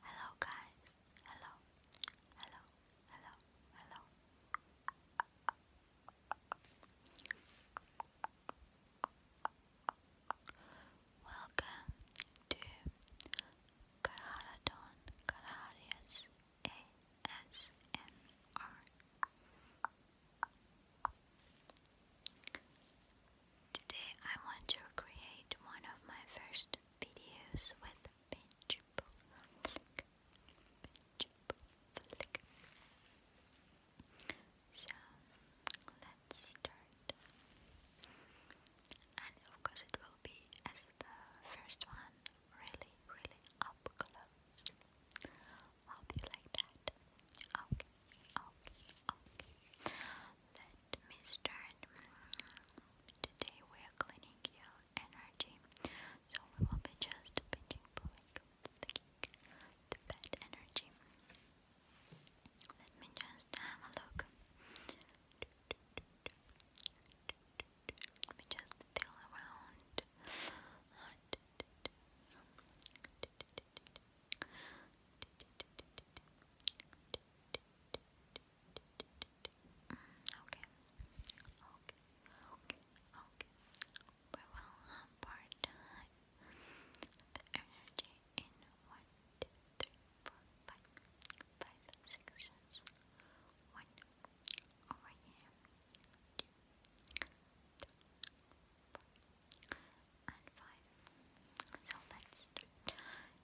Hello guys. Hello. Hello. Hello. Hello. Welcome to Karharadon Karharias ASMR. Today I want to create one of my first videos with pinch So let's start. And of course it will be as the first one, really, really up close. I'll be like that. Okay. Okay, okay. Let me Today we are cleaning your energy. So we will be just pinching, pulling, thinking the bad energy. Let me just have a look. Let me just feel around. Okay. Okay. Okay. Okay. We will part the energy in one, two, three, four, five, five over here. Two, three, four and 5. So let's start.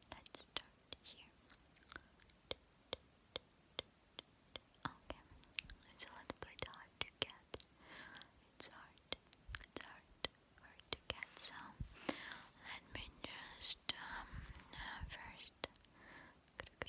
Let's start here. Okay, it's a little bit hard to get. It's hard. It's hard, hard to get. So let me just um, uh, first. Let me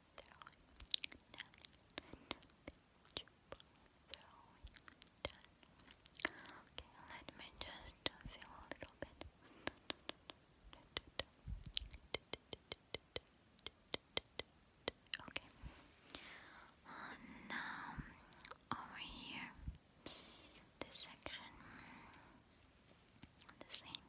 throwing, nine, Okay, let me just feel a little bit. Okay. now, over here, this section, the same.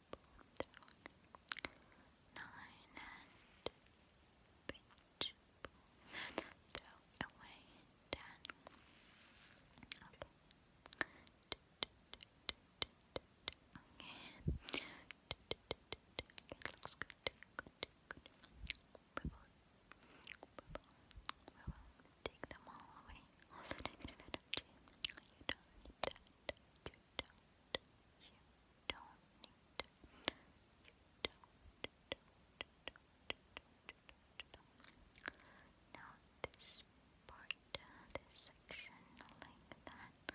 nine and pitch, throw away ten. Okay. Okay, it looks good. Good, good. We will, we will take them all away. All the negative energy. You don't need that. You don't don't. Now this part, this section like that.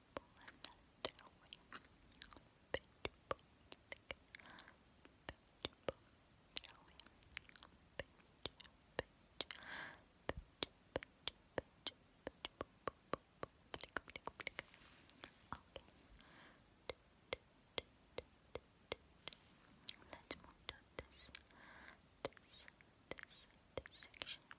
pulling that Let's move to this this, this, this section. Three,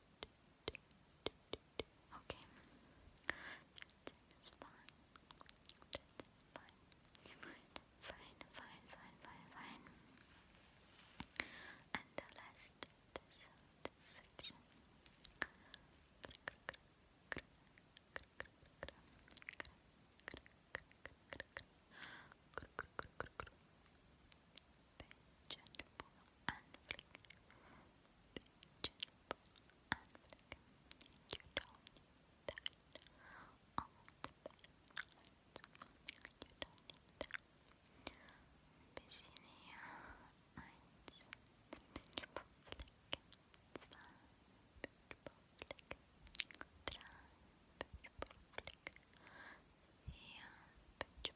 Okay. That's fine. fine. Fine, fine, fine, fine, And the last section. Pigeon and flick. Pigeon and flick. You don't that on the You don't need that. Bisinia eins. Pigeon flick. Zwei. Pigeon flick. Drei. Pitch flick, yeah, pitch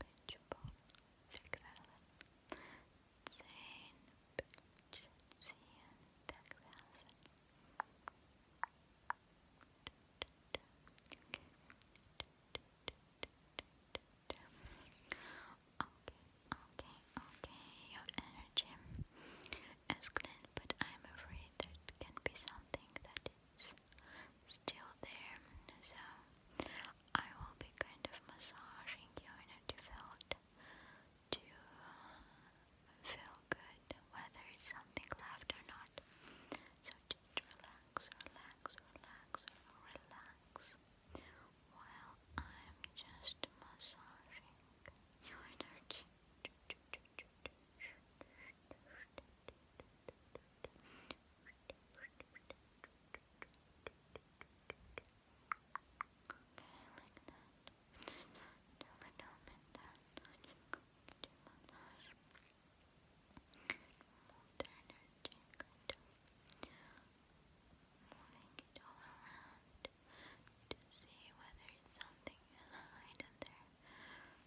Pitchable, Sigdalen, Okay, okay, your energy is clean, but I'm afraid there can be something that is still there, so I will be kind of massaging your energy field to feel good, whether it's something left or not. So just relax, relax, relax, relax, while I'm just massaging your energy like that. a little bit that I'm just going to do massage. Move moving it all around to see whether something hidden there.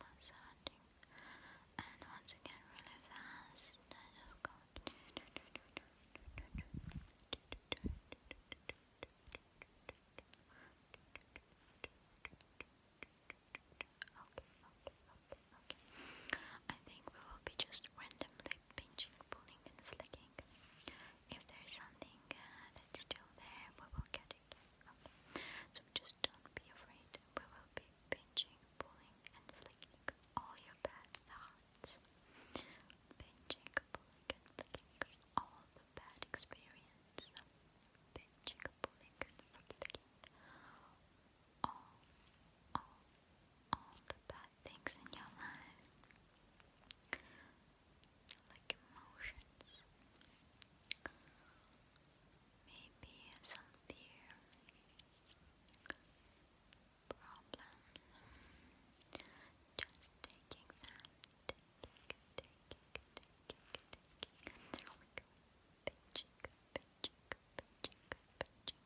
massaging and once again really fast I just go Okay, okay, okay, I think we will be just randomly pinching, pulling, and flicking. If there's something uh, that's still there, we will get it. So just don't be afraid. We will be pinching, pulling, and flicking all your bad thoughts. Pinching, pulling, and flicking all the bad experience. Pinching, pulling, and flicking all, all, all the bad things in your life. Like emotions maybe some fear problems. Just taking them, taking, taking, taking, taking. There we go. Pinching, pinching, pinching, pinching,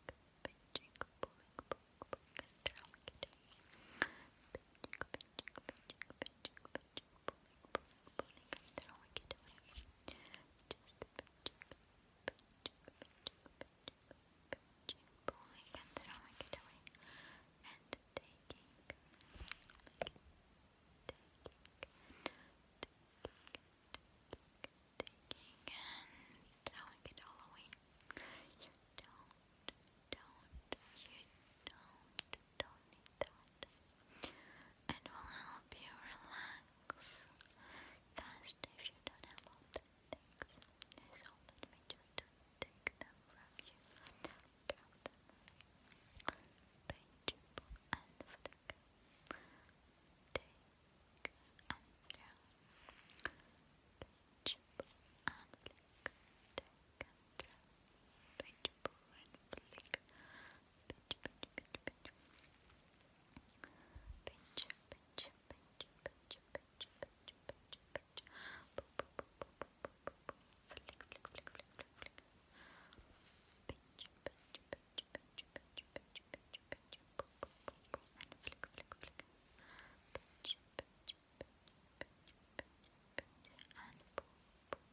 pinching, pulling, pulling, pulling. There we go. Pinching, pinching, pinching, pinching, picture, pulling, pulling, pulling. I don't like it doing it. Just pinching, pinching, pinching, pinching, pulling, and then I like it doing and taking, taking, taking. Taking and throwing it all away. You don't, don't, you don't, don't need that. It will help you relax fast if you don't have all just take them from you. Count them. Paint and Take and down. and Take and down pull and flick. Pinch, pinch, pinch, pinch. Pinch, pinch, pinch, pinch, pinch, pinch, pinch, pinch. Pull, pull, pull, pull, pull, pull, pull. Flick, flick, flick, flick, flick, flick. Pinch, pinch, pinch, pinch, pinch, pinch, pinch, pinch. Pull, pull, pull, pull, and flick, flick, flick. Pinch, pinch, pinch, pinch, pinch, pinch, and pull, pull.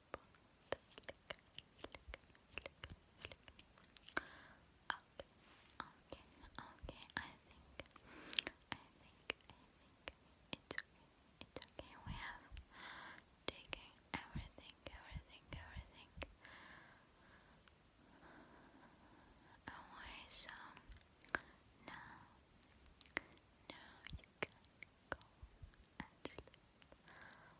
okay, I think, I think, I think it's okay, we have taken everything, everything, everything away, so now, now you can go and sleep